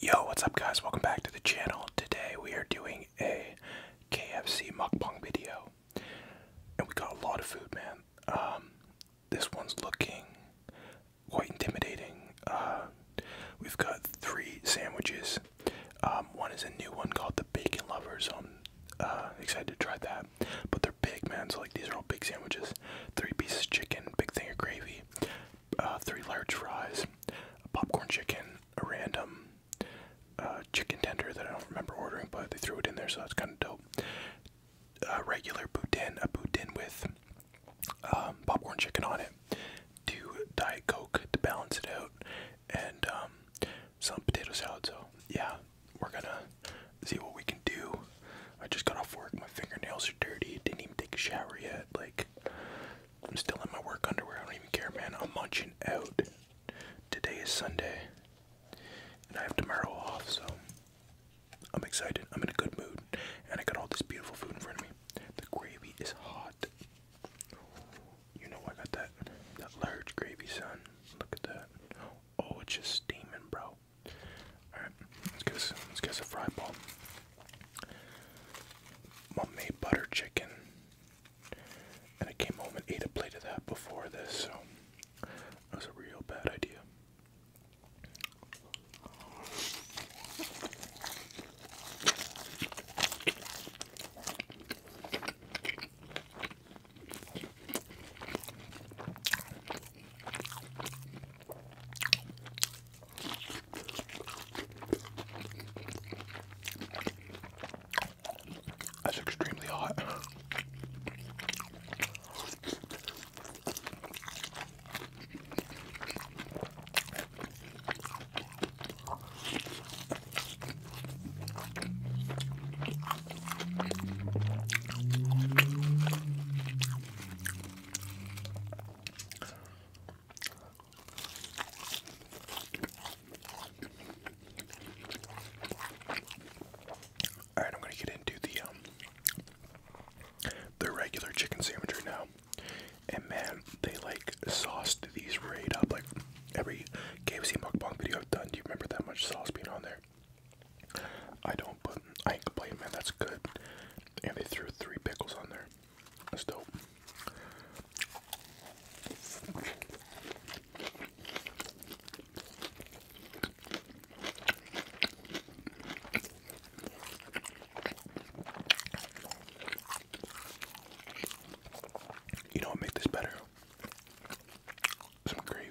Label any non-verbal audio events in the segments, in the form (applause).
Yo, what's up guys? Welcome back to the channel. Today we are doing a KFC mukbang video. And we got a lot of food, man. Um, this one's looking quite intimidating. Uh, we've got three sandwiches. Um, one is a new one called the Bacon Lover, so I'm uh, excited to try that. But they're big, man, so like these are all big sandwiches. Three pieces of chicken, big thing of gravy, uh, three large fries, a popcorn chicken, a random uh, chicken tender that I don't remember ordering, but they threw it in there, so that's kind of dope. A regular boudin, a boudin with um, popcorn chicken on it, two Diet Coke to balance it out, and um, some potato salad. So, yeah, we're gonna see what we can do. I just got off work, my fingernails are dirty, didn't even take a shower yet. Like, I'm still in my work underwear. I don't even care, man. I'm munching out. Today is Sunday, and I have tomorrow off, so I'm excited. I'm in a good mood, and I got all this beautiful food in front of me. The gravy is hot. You know I got that that large gravy, son. Look at that. Oh, it's just steaming, bro. All right, let's get us, let's get us a fry ball. Mom made butter chicken, and I came home and ate a plate of that before this, so that was a real bad idea. That's extremely hot. All right, I'm gonna get into the um, the regular chicken sandwich right now, and man, they like sauced these right up. Like every KFC mukbang video I've done, do you remember that much sauce being on there? I don't, but I ain't complaining, man. That's good. And they threw three pickles on there. That's dope. You know make this better? Some gravy.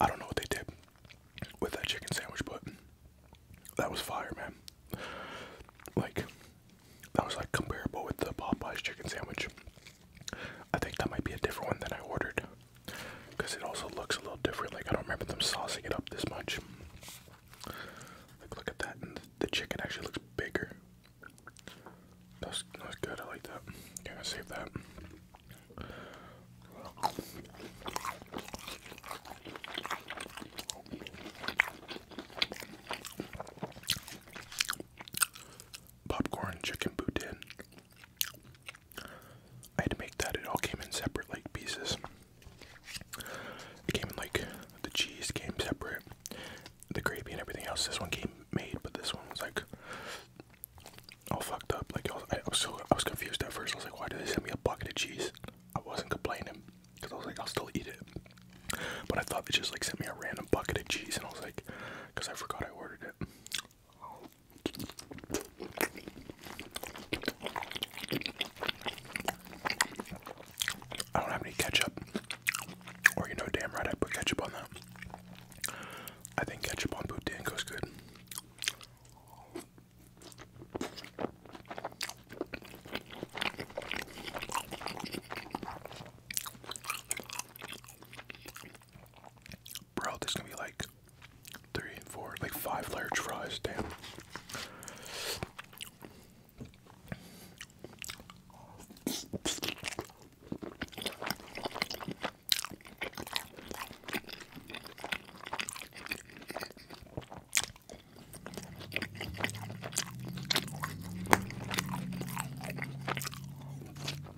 I don't know what they did with that chicken sandwich, but that was fire, man. Like that was like comparable with the Popeyes chicken sandwich. I think that might be a different one than I ordered because it also looks a little different. Like, I don't remember them saucing it up this much. Like, look at that, the chicken actually looks bigger. That's, that's good, I like that. Yeah, I save that. Popcorn chicken boudin. I had to make that. It all came in separate like pieces. It came in like the cheese came separate, the gravy and everything else. This one came made, but this one was like all fucked up. Like I was, I was confused at first. I was like, why did they send me a bucket of cheese? I wasn't complaining because I was like, I'll still eat it. But I thought they just like sent me a random bucket of cheese, and I was like, because I forgot I ordered it. I don't have any ketchup. Or you know damn right I put ketchup on that. I think ketchup on bootie goes good. Bro, there's gonna be like three, and four, like five large fries, damn.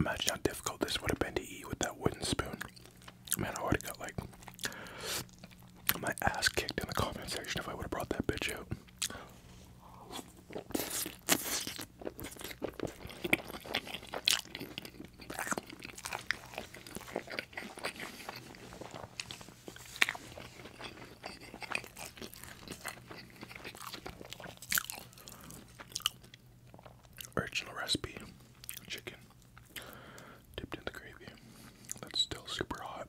Imagine how difficult this would have been to eat with that wooden spoon. Man, I would got like my ass kicked in the comment section if I would have brought that bitch out. Original recipe chicken dipped in the gravy that's still super hot.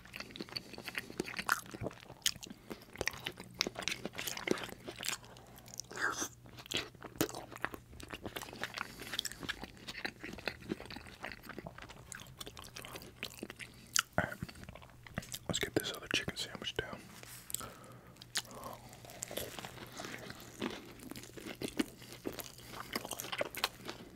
All right, let's get this other chicken sandwich down.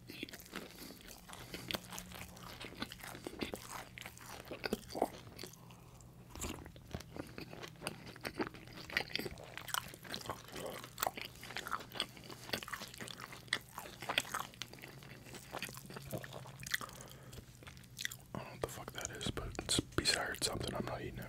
I don't know what the fuck that is, but it's besides something. I'm not eating it.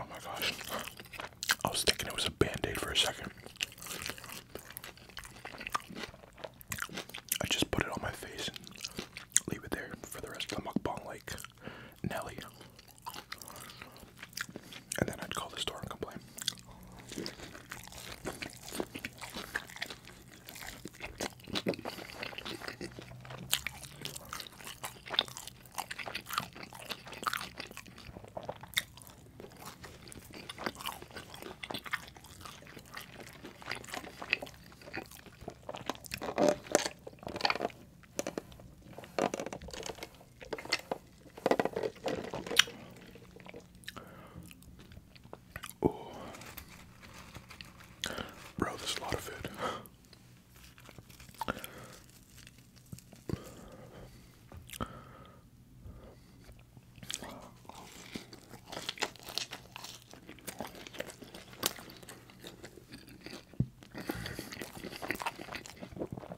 Oh my gosh. I was thinking it was a band-aid for a second. I just put it on my face and leave it there for the rest of the mukbang like Nelly. And then I'd call the store and complain bro, there's a lot of food.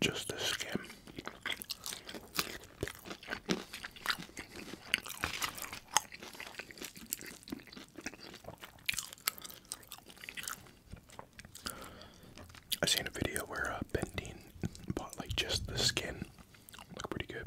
Just the skin. I seen a video where uh, Bendine bought like just the skin. Look pretty good.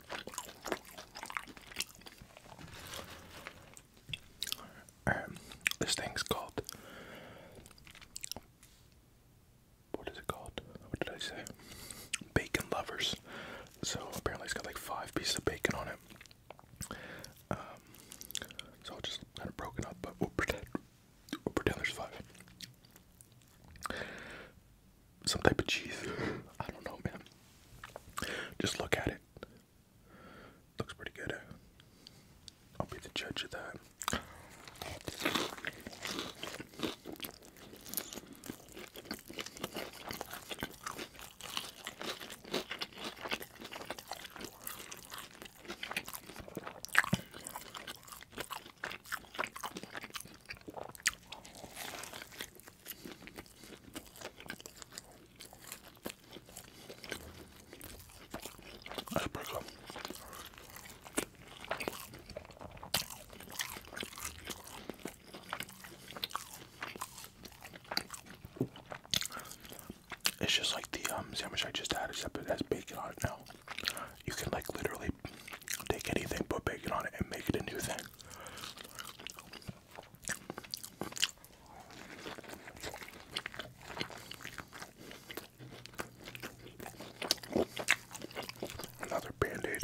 this thing's called. What is it called? What did I say? Bacon lovers. So apparently it's got like five pieces of bacon on it. Um, it's all just kind of broken up, but we'll pretend there's five. Some type of cheese. (laughs) I don't know, man. Just look at it. Looks pretty good. I'll be the judge of that. It's just like the um, sandwich I just had, except it has bacon on it now. You can like literally take anything, put bacon on it, and make it a new thing. Another band aid.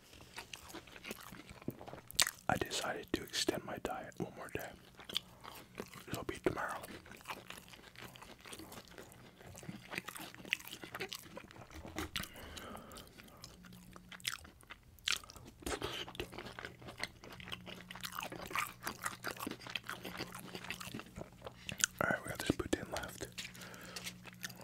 I decided to extend my diet one more day. It'll be tomorrow. Alright, we got this poutine left.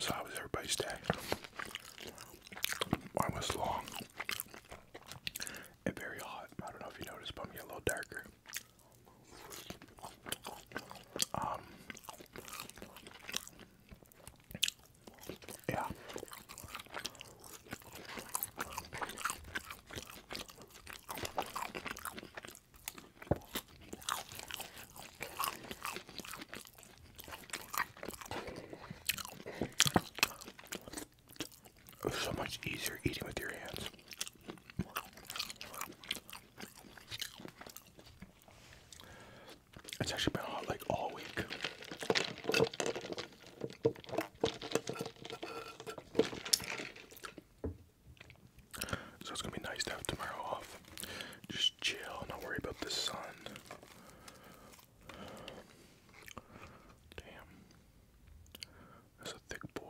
So how was everybody's day? Mine was long and very hot. I don't know if you noticed, but I'm getting a little darker. Um, yeah. It's so much easier eating with your hands. It's actually been hot like all week. So it's gonna be nice to have tomorrow off. Just chill, not worry about the sun. Damn. That's a thick boy.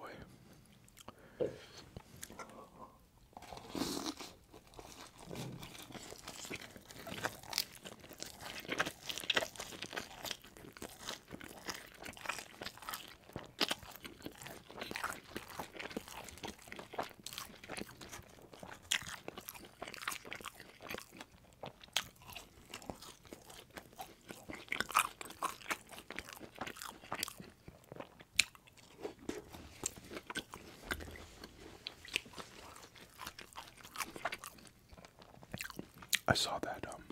I saw that um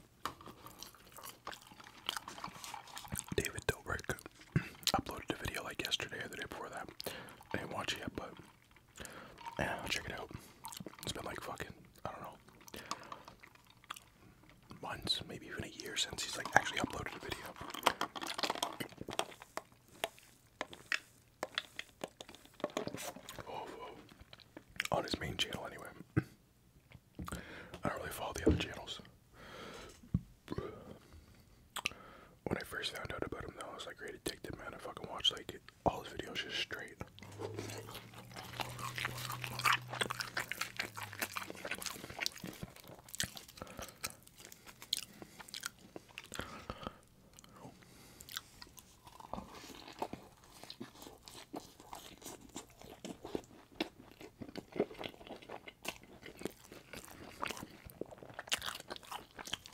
David Dobrik (clears throat) uploaded a video like yesterday or the day before that. I didn't watch it yet, but yeah, check it out. It's been like fucking, I don't know, months, maybe even a year since he's like actually uploaded a video. Oh, On his main channel, anyway. (clears throat) I don't really follow the other channels. When I first found out about him, though, I was like, ready to take the man. I fucking watched like all his videos just straight.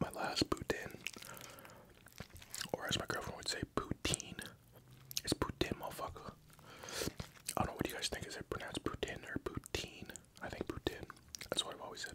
My last poutine, or as my girlfriend would say, poutine. It's poutine, motherfucker. I don't know what you guys think. Is it pronounced poutine or poutine? I think poutine. That's what I've always said.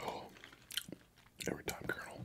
Oh, every time, Colonel.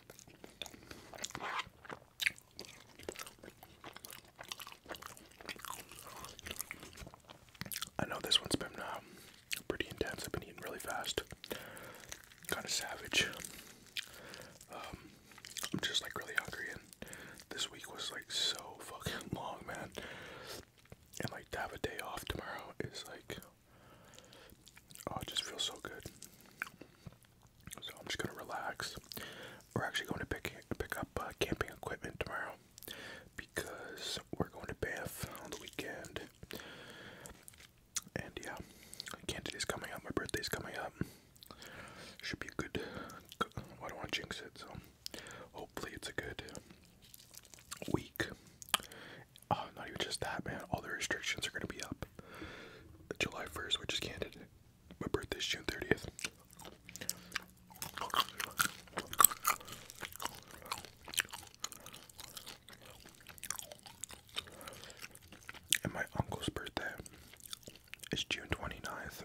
I know this one's been uh, pretty intense. I've been eating really fast, kind of savage. Um, I'm just like really hungry, and this week was like so fucking long, man. And like to have a day off tomorrow is like Oh, it just feels so good. So I'm just gonna relax. We're actually going to pick pick up uh, camping equipment tomorrow because we're going to Banff on the weekend. And yeah, Canada is coming up. My birthday's coming up. Should be good. good don't want jinx it, so hopefully it's a good week. Oh, not even just that, man. All the restrictions are going to be up. July 1st, which is candid. My birthday's June 30th. And my uncle's birthday is June 29th.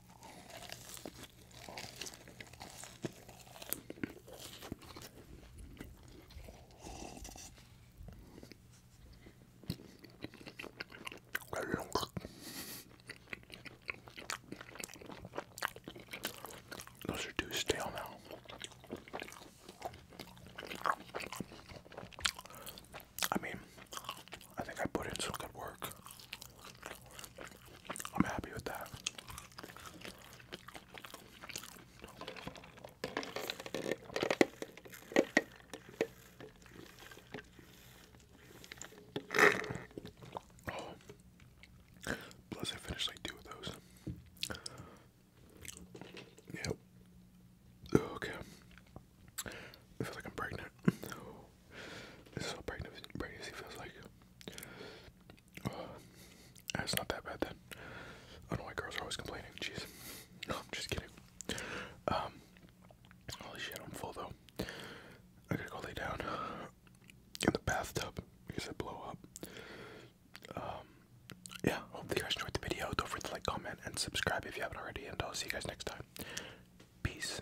Those are too stale now. I mean, I think I put in some good work. I'm happy with that. Oh. Plus, I finished like two of those. Yep. Okay. I feel like I'm pregnant. (laughs) This is what pregnancy feels like. (sighs) it's not that bad then. I don't know why girls are always complaining. Jeez. No, I'm just kidding. Um, holy shit, I'm full though. I gotta go lay down in the bathtub because I blow up. Um, yeah, hope you guys enjoyed the video. Don't forget to like, comment, and subscribe if you haven't already. And I'll see you guys next time. Peace.